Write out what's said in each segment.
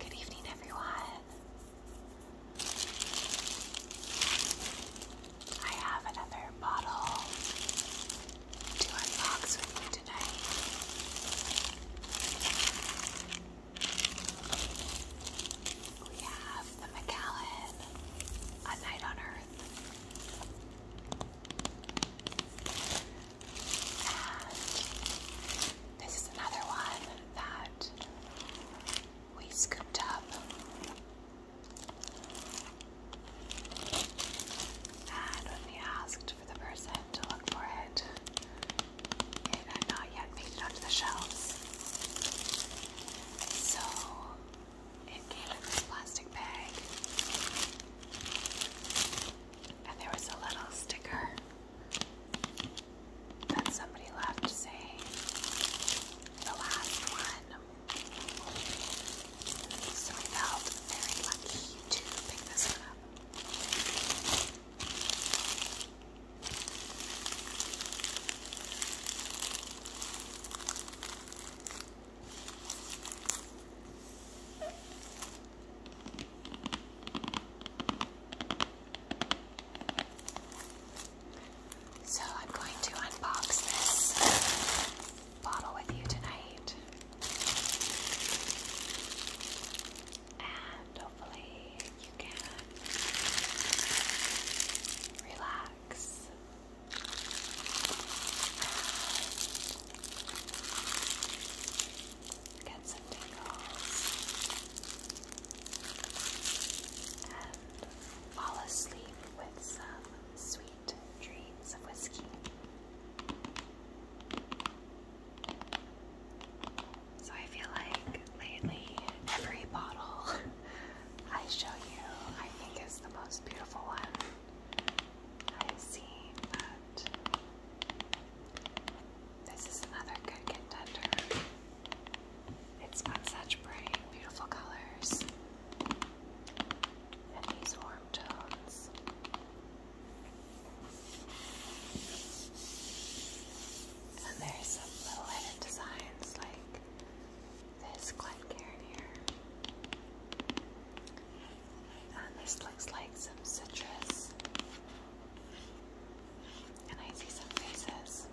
Good evening, everyone. I have another bottle to unbox with tonight. We have the Macallan, A Night on Earth this is another one that we scooped up. And when we asked for the person to look for it, it had not yet made it onto the shelves. So it came in this plastic bag. And there was a little sticker that somebody left saying the last one. So I felt very lucky to pick this one up. So I'm going to unbox this bottle with you tonight. And hopefully you can relax Get some tingles and fall asleep with some sweet dreams of whiskey. So I feel like lately every bottle I show you, I think is the most beautiful one I have seen, but this is another good contender. It's got such bright, beautiful colors and these warm tones. And there's little hidden designs like this Glencairn here. And this looks like some citrus. And I see some faces.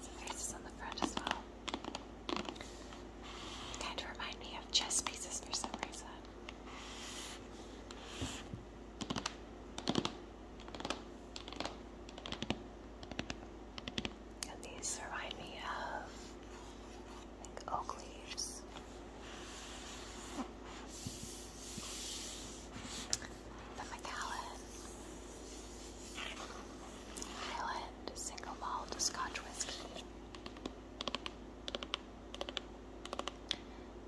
Some faces on the front as well. Kind of remind me of chess pieces for some reason. And these remind me of like oak leaves. The Macallan Highland Single Malt Scotch Whiskey.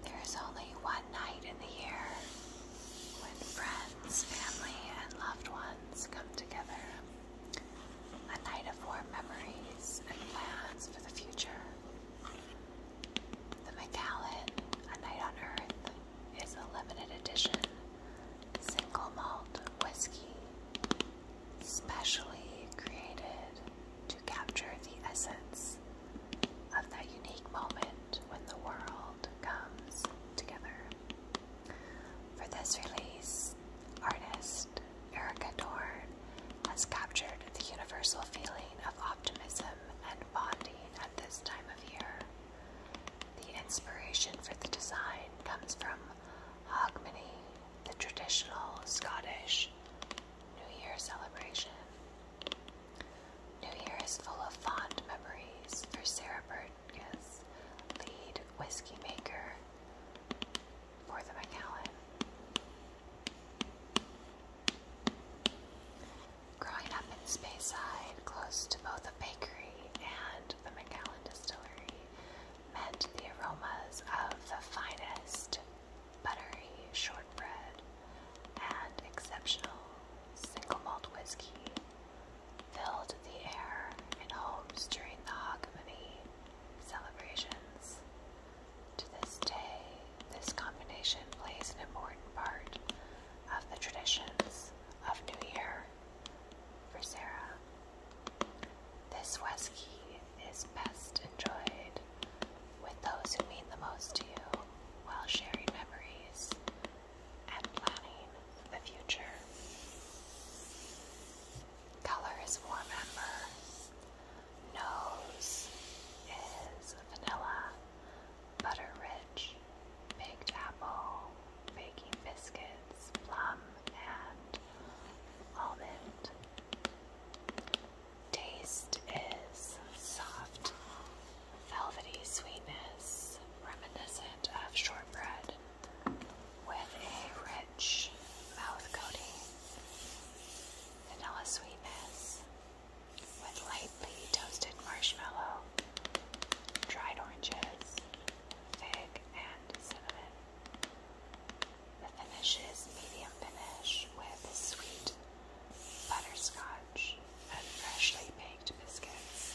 There is only one night in the year when friends, family, and loved ones come together. A night of warm memories and plans for the future. The Macallan, A Night on Earth, is a limited edition single malt whiskey specially created to capture the essence of that unique moment when the world comes together. For this release, artist Erica Dorn has captured the universal feeling of optimism and bonding at this time of year. The inspiration for the design comes from Hogmanay, the traditional Scottish New Year celebration. New Year is full of fond memories for Sarah Burgess, lead whiskey maker for the McAllen. Growing up in Speyside, close to both a bakery and the Macallan Distillery, meant the aromas of the finest buttery shortbread and exceptional single malt whiskey filled the air in homes during the Hogmanay celebrations. To this day, this combination plays an important part of the traditions of New Year for Sarah. This whiskey is best enjoyed with those who mean the most to you while sharing memories and planning the future. Color is warm amber. Nose is vanilla, butter rich, baked apple, baking biscuits, plum, and almond. Taste is soft, velvety sweetness reminiscent of shortbread with a rich mouth coating, vanilla sweetness with lightly toasted marshmallow, dried oranges, fig, and cinnamon. The finish is medium finish with sweet butterscotch and freshly baked biscuits.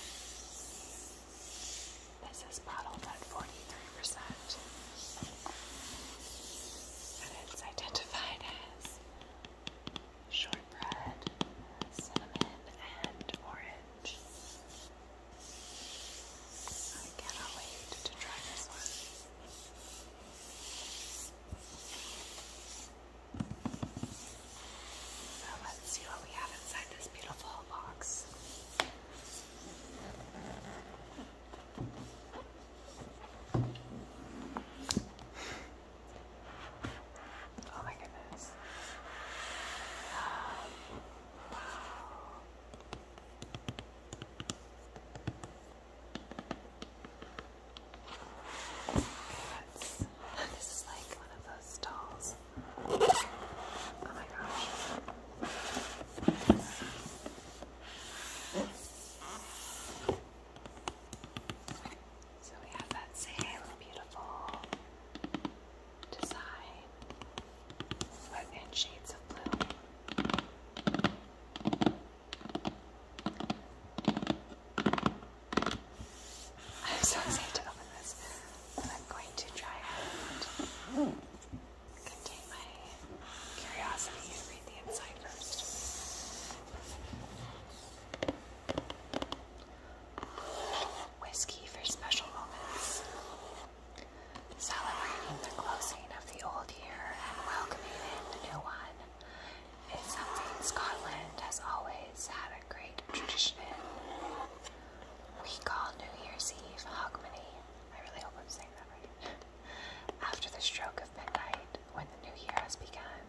This is bottled at 43%, and it's identified as shortbread, cinnamon, and orange. I cannot wait to try this one. So let's see what we have inside this beautiful box. Oh my goodness. Um, wow let this is like one of those stalls. Oh my gosh. So we have that same beautiful design, but in shades of blue. I'm so excited to open this, and I'm going to try and contain my curiosity and read the inside first. Whiskey for special moments. Celebrating the closing of the old year and welcoming in the new one is something Scotland has always had a great tradition in. We call New Year's Eve Hogmanay. I really hope I'm saying that right. After the stroke of midnight, when the new year has begun,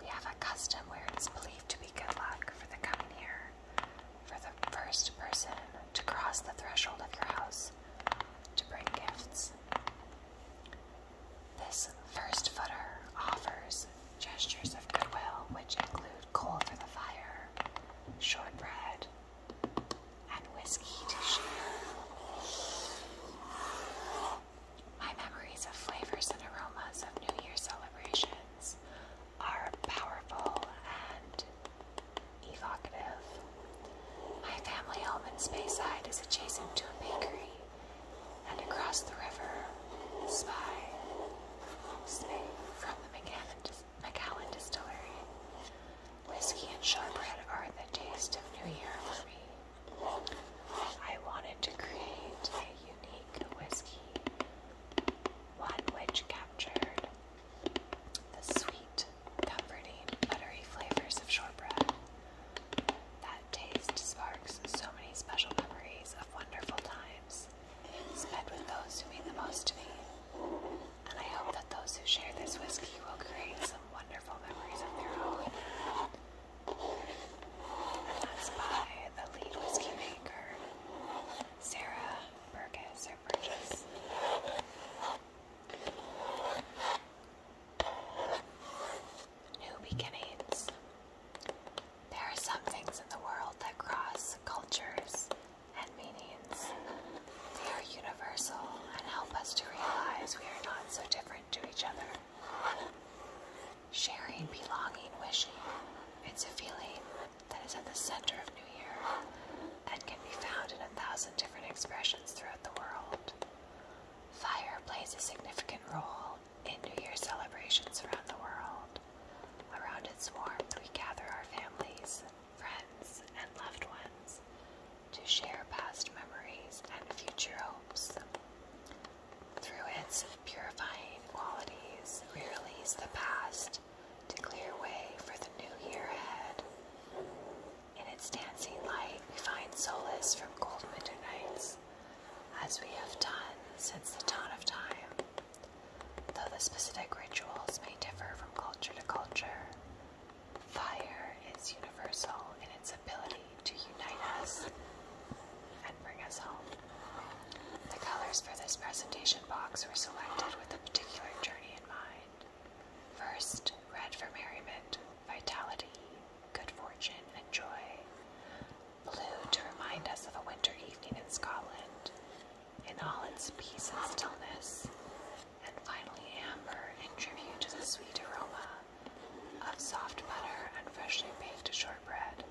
we have a custom where it is believed to be good luck for the coming year for the first person to cross the threshold of your house to bring gifts. This first footer offers gestures of goodwill, which include coal for the fire, shortbread, and whiskey to share. My memories of flavors and aromas of New Year celebrations are powerful and evocative. My family home in Speyside is adjacent to a bakery and across the river, Spy, Smith from the McAllen, Distillery. Whiskey and shortbread are the taste of New Year for me. I wanted to create a unique whiskey, one which captured the sweet, comforting, buttery flavors of shortbread that taste sparks so many special memories of wonderful times spent with those who mean the most to me. And I hope that those who share this whiskey will create some wonderful memories of their own. And by the lead whiskey maker, Sarah Burgess. New beginnings. There are some things in the world that cross cultures and meanings. They are universal and help us to realize we are not so different to each other. Sharing, belonging, wishing. It's a feeling that is at the center of New Year and can be found in a thousand different expressions throughout the world. Fire plays a significant role in New Year celebrations around the world. Around its warmth, we gather our families, friends, and loved ones to share past memories and future hopes. Through its purifying qualities, we release the past to clear way for the new year ahead. In its dancing light, we find solace from cold winter nights, as we have done since the dawn of time. Though the specific rituals may differ from culture to culture, fire is universal in its ability to unite us and bring us home. The colors for this presentation box were selected with a particular journey in mind. First, red for merriment, vitality, good fortune, and joy. Blue to remind us of a winter evening in Scotland, in all its peace and stillness. And finally, amber in tribute to the sweet aroma of soft butter and freshly baked shortbread,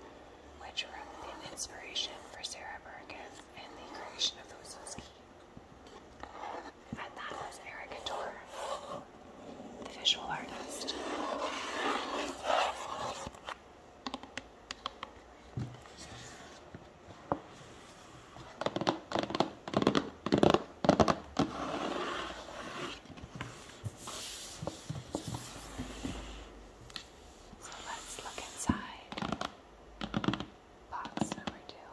which were the inspiration for Sarah Burgess in the creation of the whiskey and that was the visual artist. So let's look inside box number two.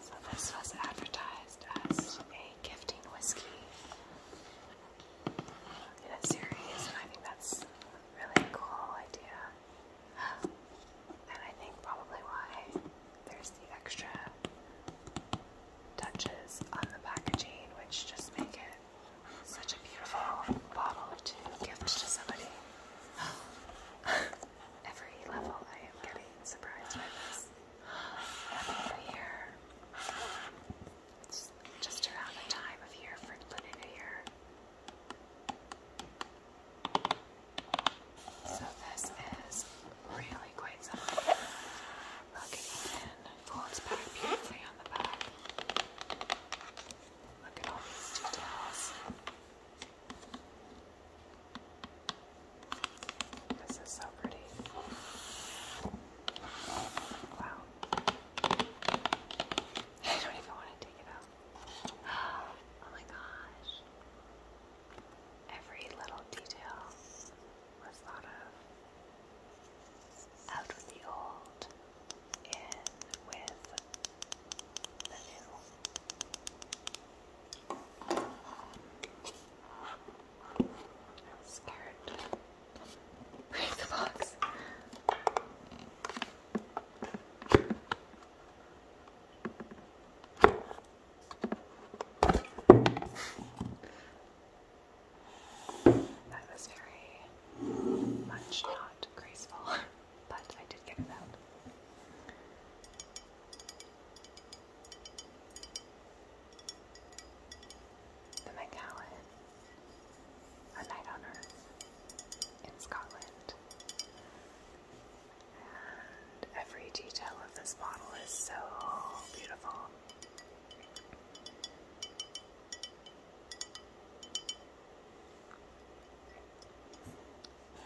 So this was advertised as a gifting whiskey in a series, and I think that's a really cool idea. And I think probably why there's the extra touches on the packaging, which just make it such a beautiful bottle to gift to somebody. Every level I am getting surprised by this. Nothing for year. just around the time of year for Lunar New Year. So this is really quite something. Look, it folds back beautifully on the back. Look at all these details. This is so pretty. Wow. I don't even want to take it out. Oh my gosh. Every little detail was thought of. Out with the old, in with the new. scared. Break the box. That was very much not graceful, but I did get it out. The Macallan, A Night on Earth in Scotland. every detail of this bottle is so beautiful.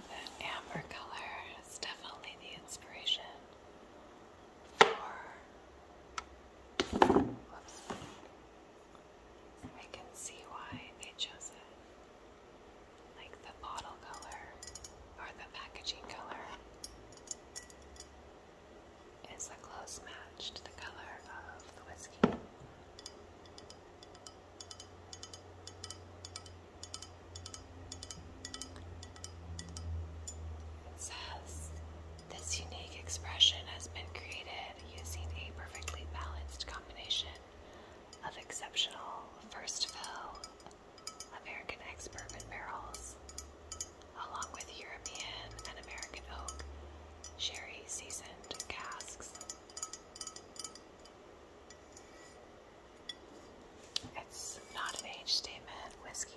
That amber color is definitely the inspiration I can see why they chose it. Like the bottle color or the packaging color is a close match to the color of the whiskey. It says this unique expression has been created using a perfectly balanced combination of exceptional first fill American ex bourbon barrels, along with European and American oak sherry seasoned casks. It's not an age statement whiskey.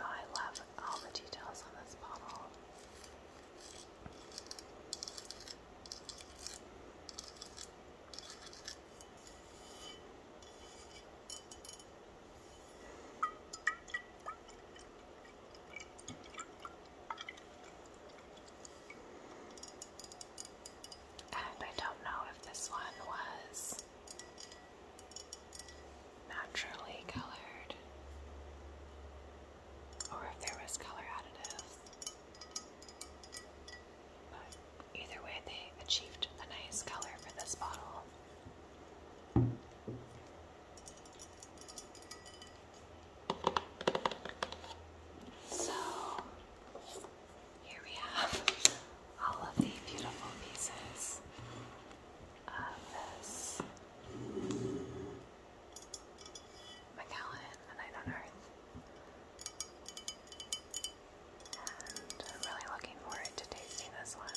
I love all the details on this bottle. And I don't know if this one was naturally colored or if there was color additives. But either way, they achieved a nice color for this bottle. So, here we have all of the beautiful pieces of this Magellan, Night on Earth. I'm really looking forward to tasting this one.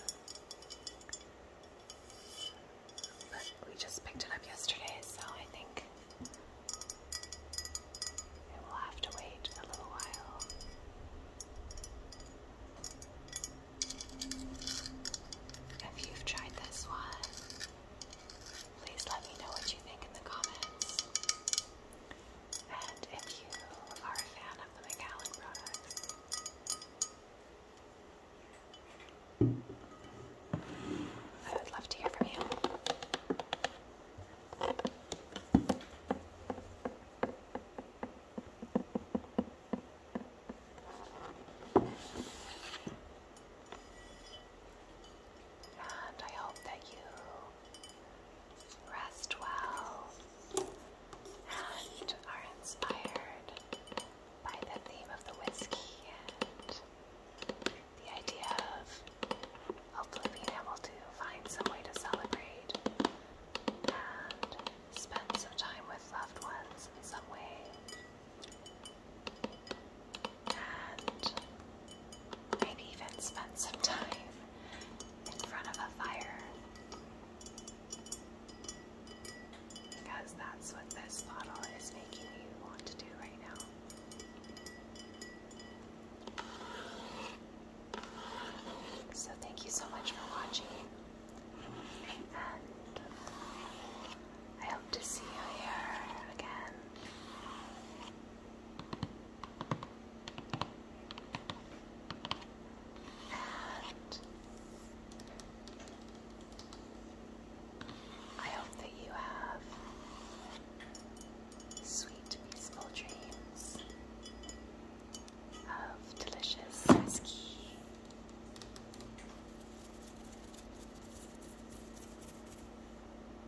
But we just picked it up yesterday, so I think it will have to wait a little while. If you've tried this one, please let me know what you think in the comments. And if you are a fan of the McAllen products, I would love to hear from you. And I hope that you rest well, and are inspired by the theme of the whiskey and the idea of hopefully being able to find some way to celebrate and spend some time with loved ones in some way and maybe even spend some time in front of a fire. Because that's what this bottle is making you want to do right now. So, thank you so much for watching, and I hope to see you here again. I hope that you have sweet, peaceful dreams of delicious whiskey.